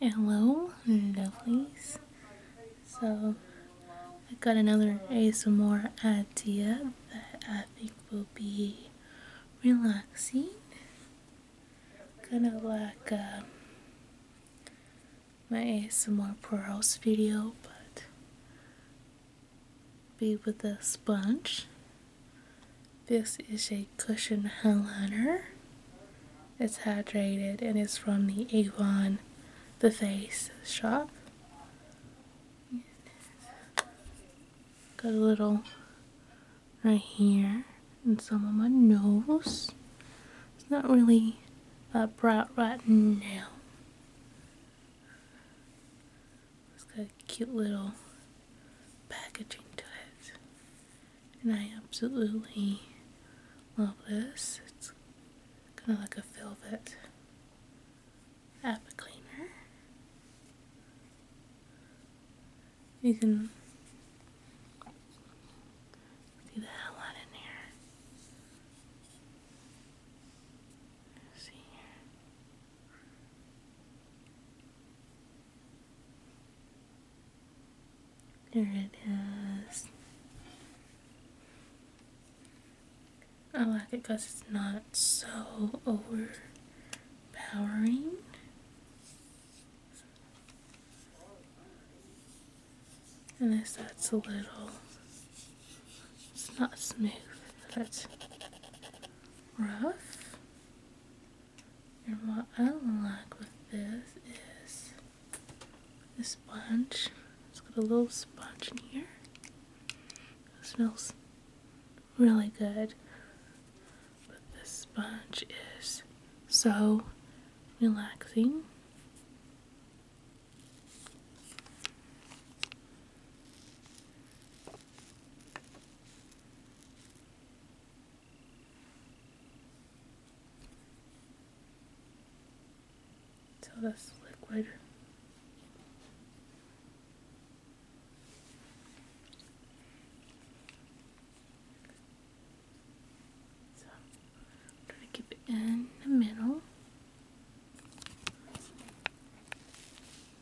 Hello, lovelies. So, I got another ASMR idea that I think will be relaxing. Kind of like uh, my ASMR pearls video, but be with a sponge. This is a cushion highlighter. It's hydrated and it's from the Avon The Face shop. Got a little right here and some on my nose. It's not really uh, bright right now. It's got cute little packaging to it and I absolutely love this. It's kind of like a velvet app cleaner. You can see the hell out in here. See here. There it is. I like it because it's not so overpowering. And this that's a little, it's not smooth, That's rough. And what I like with this is this sponge. It's got a little sponge in here. It smells really good. But this sponge is so relaxing. So that's liquid. So i to keep it in the middle.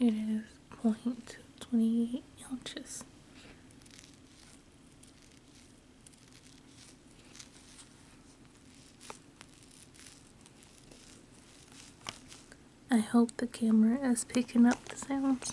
It is 0.28 inches. I hope the camera is picking up the sounds.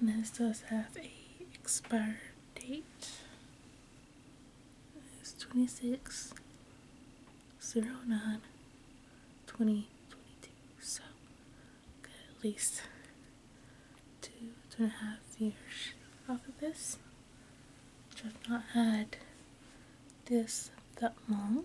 And this does have a expired date. It's 26 09 2022. So, good, at least two, two and a half years off of this. Which I've not had this that long.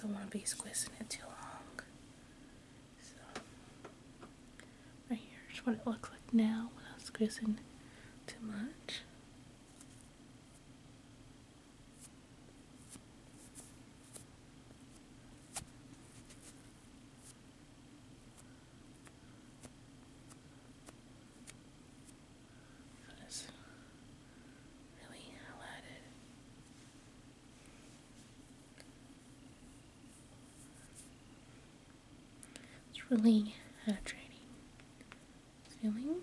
Don't want to be squishing it too long. So, right here's what it looks like now without squishing too much. It's really hydrating feeling.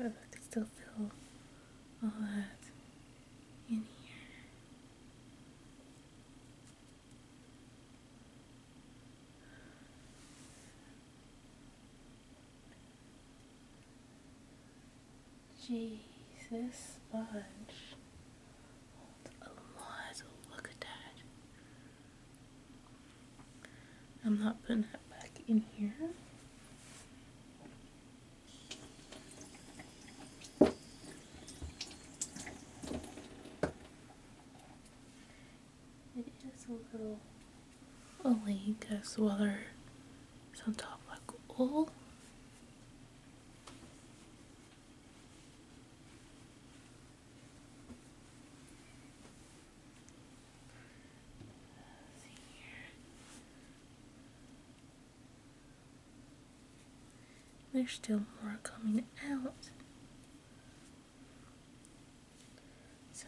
I could still feel all that in here. Jesus sponge holds a lot. Look at that. I'm not putting that back in here. It is a little oily as well. they on top like all there's still more coming out so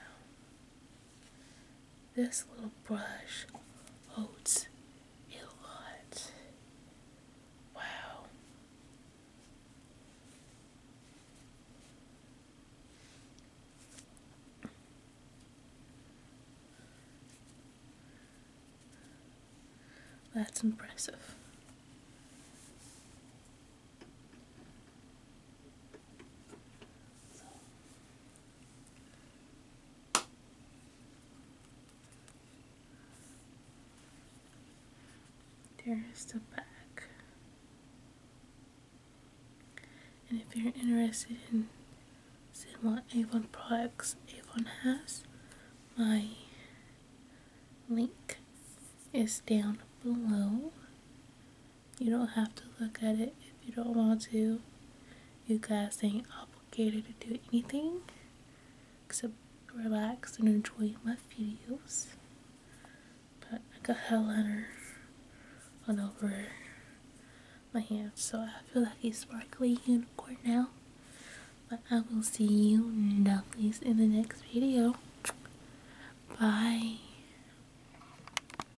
this little brush holds a lot. Wow. That's impressive. There's the back. And if you're interested in seeing what Avon products Avon has, my link is down below. You don't have to look at it if you don't want to. You guys ain't obligated to do anything except relax and enjoy my videos. But I got eyeliner on over my hand, so I feel like a sparkly unicorn now. But I will see you lovelies in the next video. Bye.